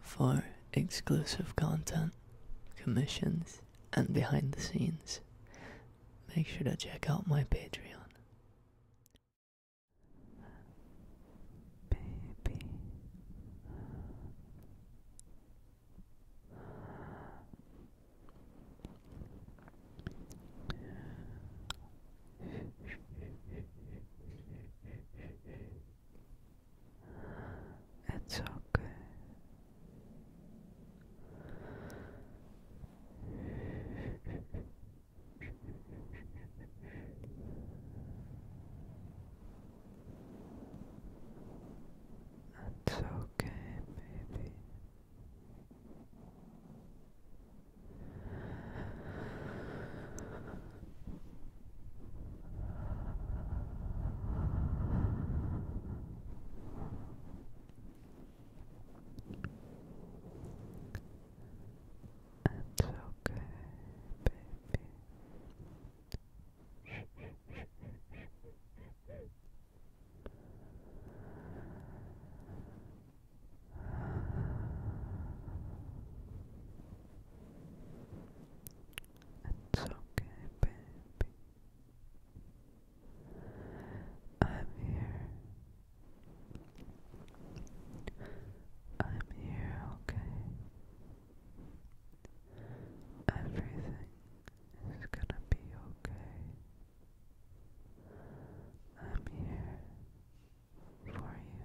for exclusive content, commissions, and behind the scenes, make sure to check out my Patreon. It's okay. It's okay, baby. It's okay, baby. It's okay, baby. I'm here. I'm here, okay? Everything is gonna be okay. I'm here for you.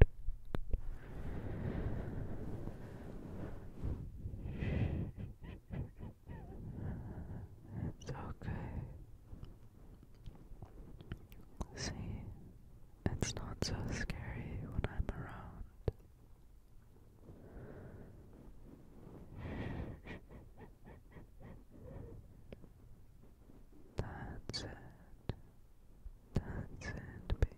It's okay. See, it's not so scary when I'm around. That's it. That's it, baby.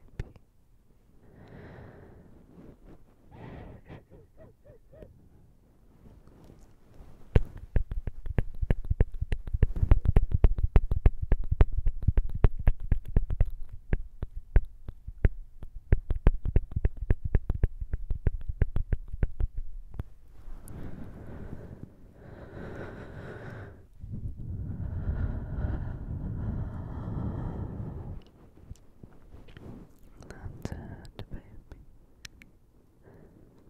That's it, baby.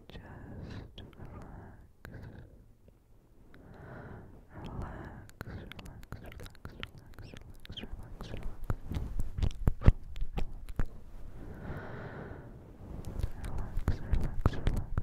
Just relax. Relax, relax, relax, relax, relax, relax, relax. Relax, relax, relax.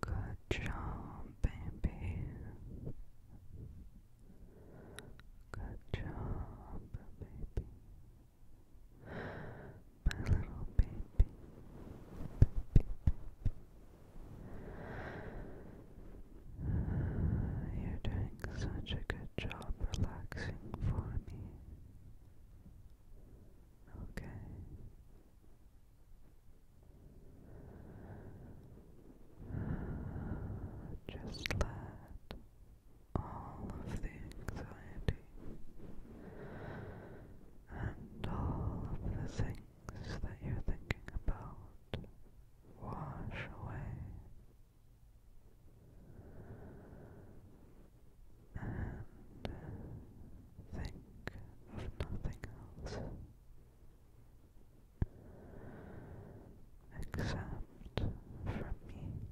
Good job, baby. Good job, baby. My little baby. you're doing such a good job relaxing for me. Okay. Just let all of the anxiety and all of the things that you're thinking about wash away and think of nothing else except for me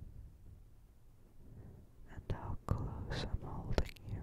and how close I'm holding you.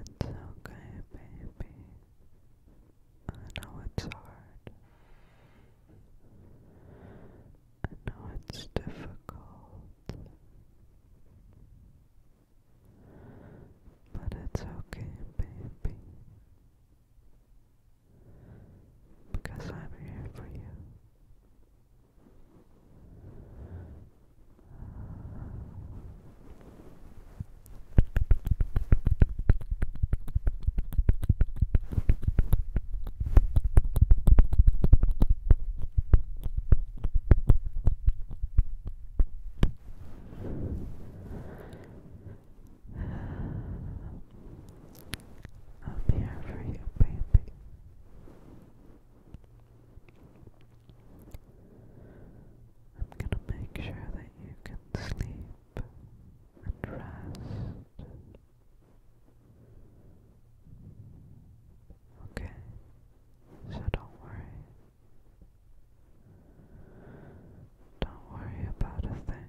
It's okay, baby. I know it's hard. I know it's difficult. But it's okay, baby. Because I'm here for you. I'll be here for you, baby. I'm gonna make sure that you can sleep and rest. Okay, so don't worry. Don't worry about a thing.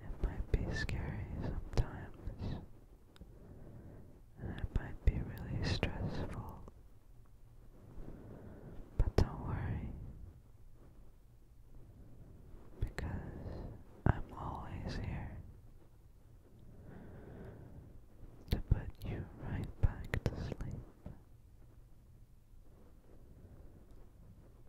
It might be scary sometimes, it might be really stressful. But don't worry, because I'm always here to put you right back to sleep.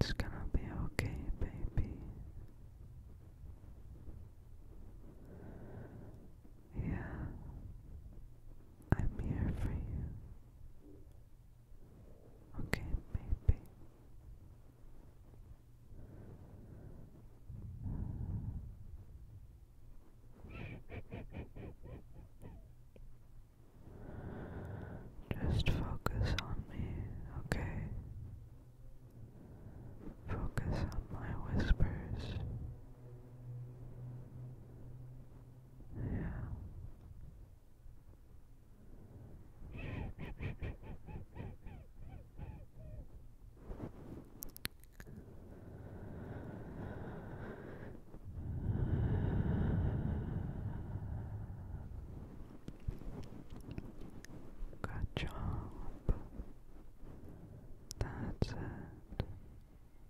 It's gonna be okay, baby. Yeah, I'm here for you. Okay, maybe. Just focus on me, okay? Focus on my whispers. Yeah. Good job. That's it.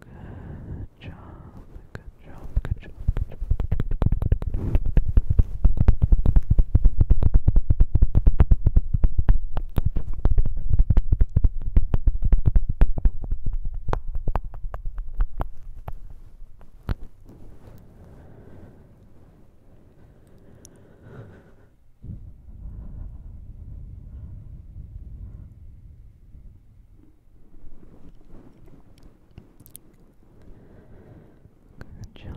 Good job, good job, good job, good job. Good Good job, baby. Good job.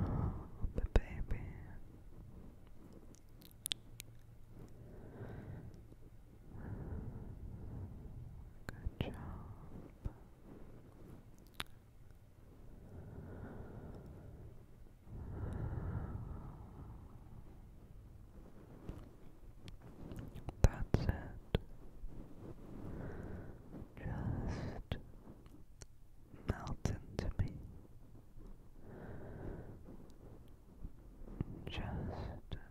That's it. Just melt into me. Just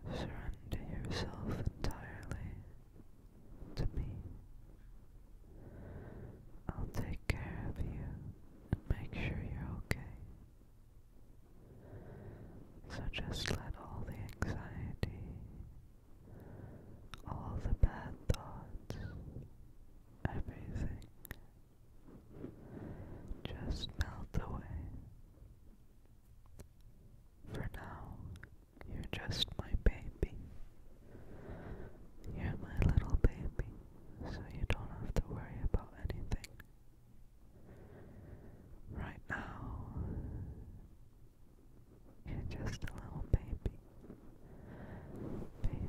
surrender yourself entirely to me. I'll take care of you make sure you're okay. So just let all the anxiety, all the bad thoughts, everything just melt away. For now, you're just my baby. You're my little baby so you don't have to worry about anything. Right now, you just a little Baby. Baby. Baby.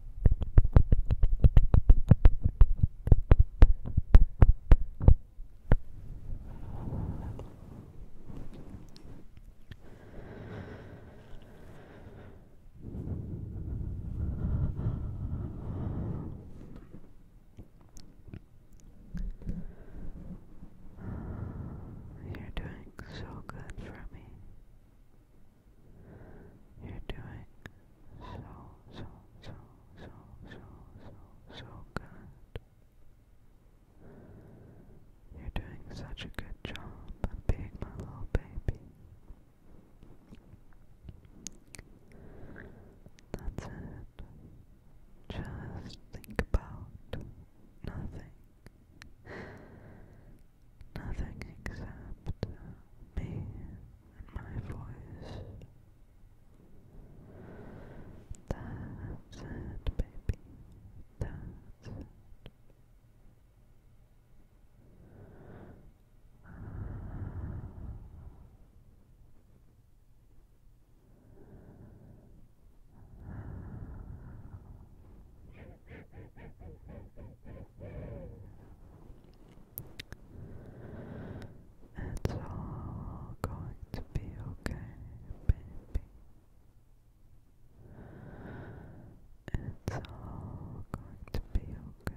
You're doing so good for me. You're doing so, so, so, so, so, so, so good. You're doing such a good job of being my little baby. That's it. Just think about nothing nothing except me and my voice. That's it, baby. That's it. It's all going to be okay, baby. It's all going to be okay. baby.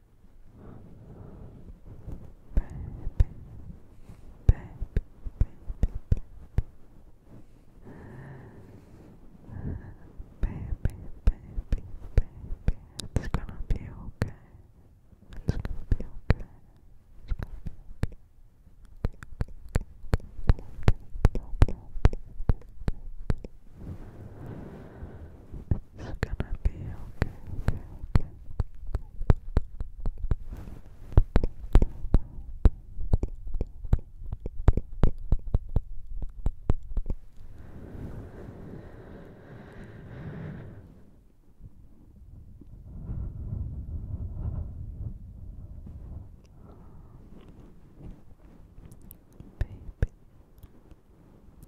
baby, baby, baby, baby, baby, baby, it's gonna be okay. It's gonna be okay. It's gonna be okay. It's gonna be okay, okay, okay. Baby,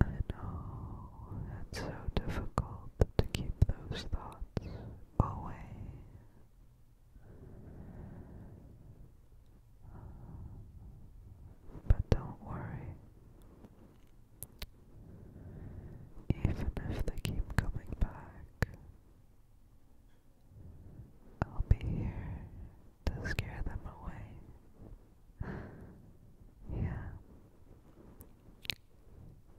I know it's so difficult to keep those thoughts away. But don't worry, even if they keep coming back, I'll be here to scare them away. yeah.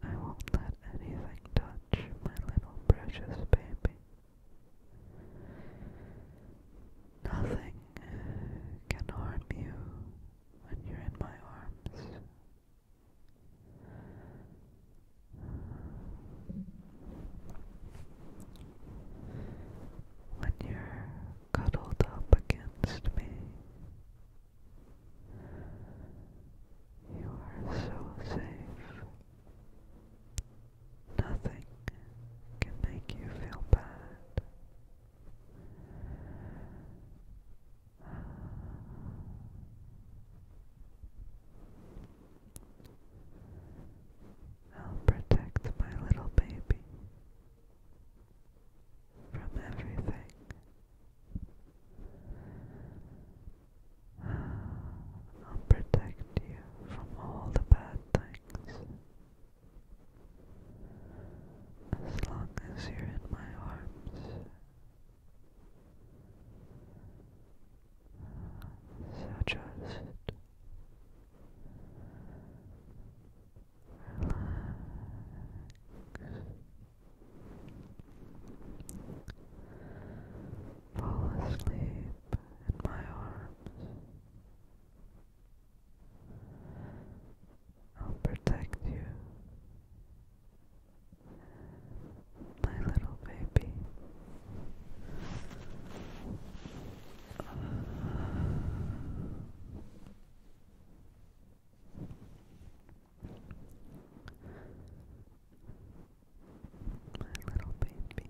I won't let anything touch my little precious baby. Nothing can harm you when you're in my arms. When you're cuddled up against me. You are so safe. Nothing can make you feel bad. I'll protect my little baby from everything. I'll protect you from all the bad things. As long as you're in my arms. So just Fall asleep in my arms. I'll protect you, my little baby. My little baby. My little baby, baby, baby, baby,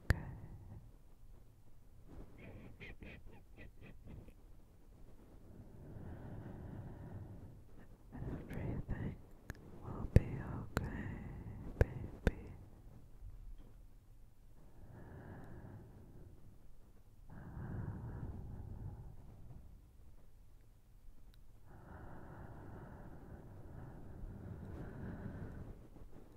all good. Everything will be okay, baby.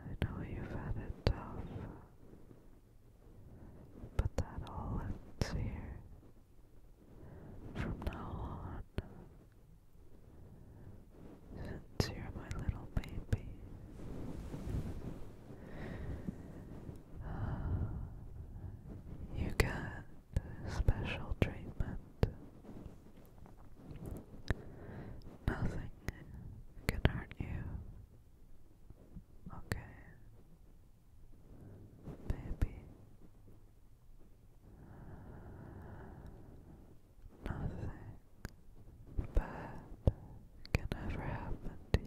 I know you've had it tough, but that all ends here. From now on, since you're my little baby, you get special treatment. Nothing can hurt you. Okay, baby, nothing bad can ever happen to you.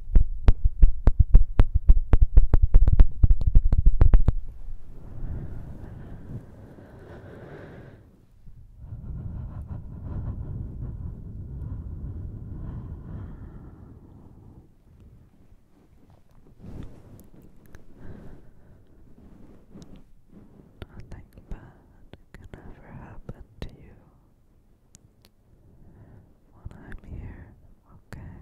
Nothing bad can ever happen to you when I'm here, okay?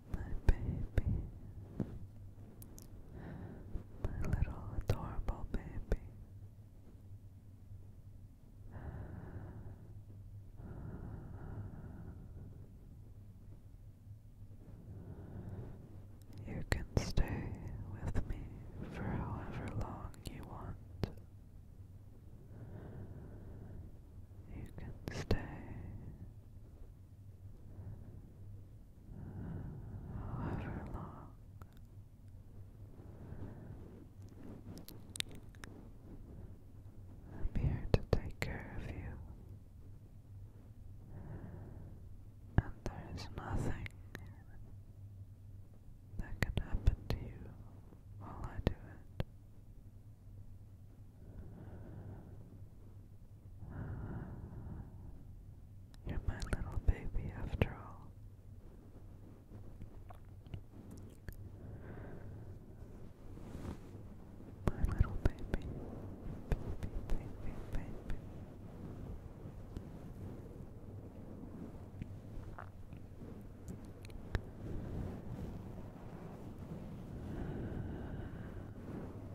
my baby, my little adorable baby. You can stay with me for however long you want. You can stay however long I'm here to take care of you, and there is nothing that can happen to you while I do it. You're my little baby after all. My little baby, baby, baby, baby. Thank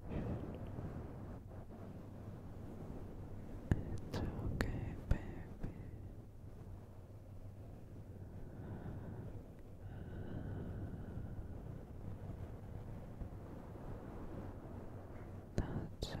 It's okay, baby. That's it.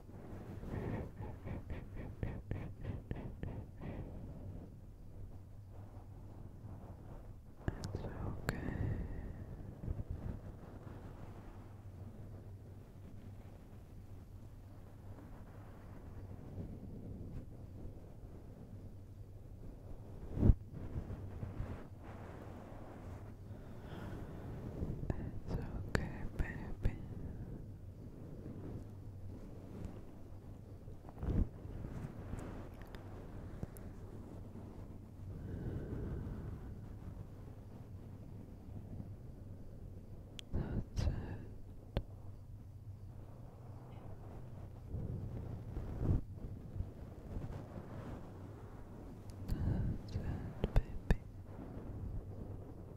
It's okay. It's okay, baby. That's it. That's it, baby.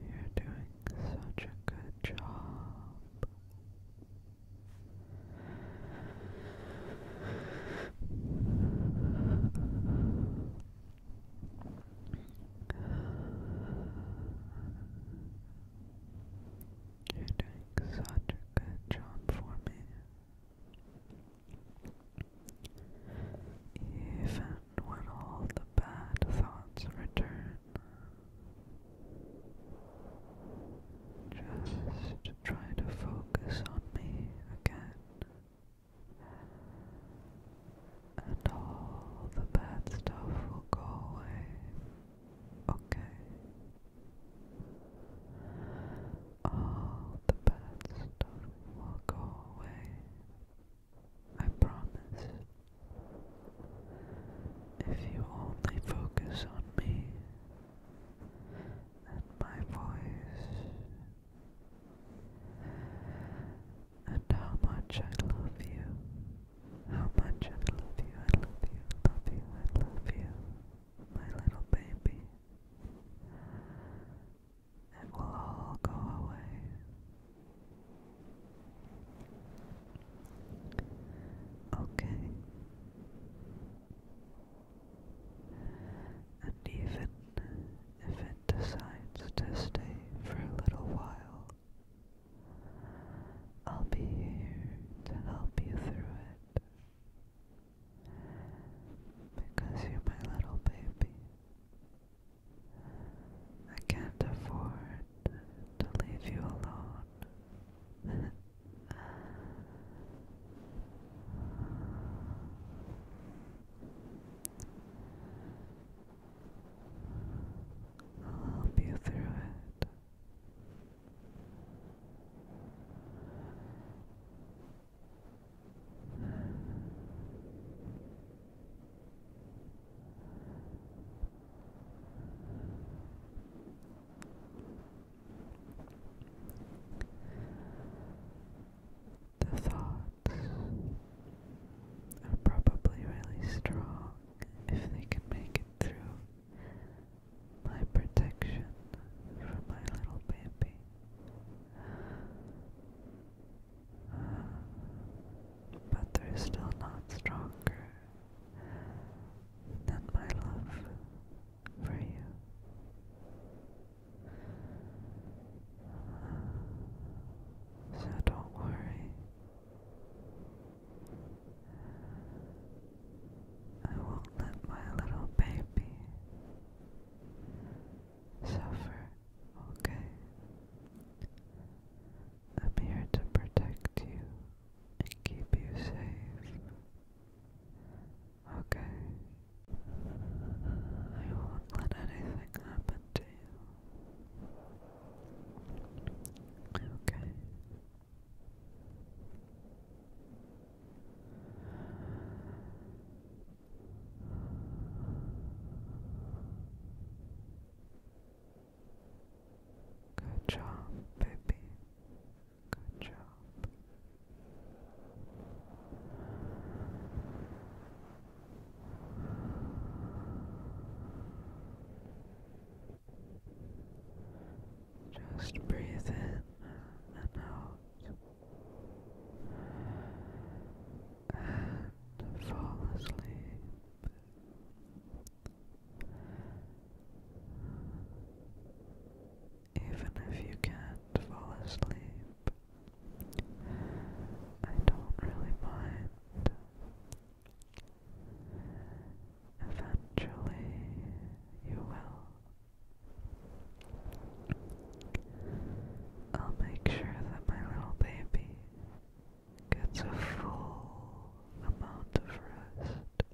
You're doing such a good job. You're doing such a good job for me. Even when all the bad thoughts return, just try to focus on me again. And all the bad stuff will go away. Okay. All the bad stuff will go away. I promise. If you only focus on me and my voice and how much I love you, how much I love you, I love you, I love you, my little baby. It will all go away. Okay. And even if it decides to stay for a little while, I'll be here to help you through it because you're my little baby. I can't afford to leave you alone. I'll help you through it. The thoughts are probably really strong if they can make it through my protection for my little baby. But they're still not stronger than my love for you. So don't worry. I won't let my little baby suffer, okay? I'm here to protect you and keep you safe. Okay. I won't let anything happen to you. Okay. Good job, baby. Good job. Just breathe in and out and fall asleep. Even if you can't fall asleep, I don't really mind. Eventually, you will. I'll make sure that my little baby gets a full amount of rest.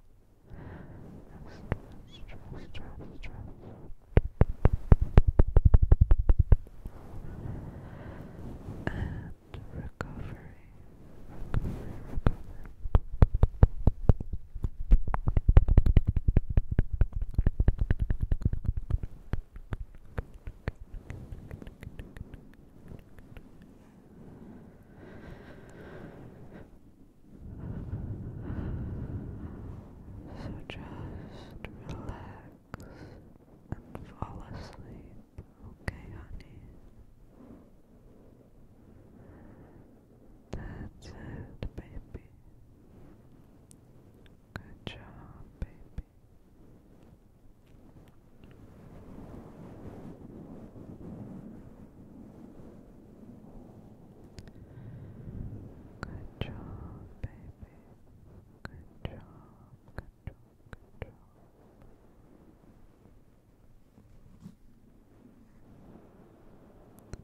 And recovery. So just relax and fall asleep, okay, honey? That's it, baby. Good job, baby. Good job, baby. Good job, good job, good job.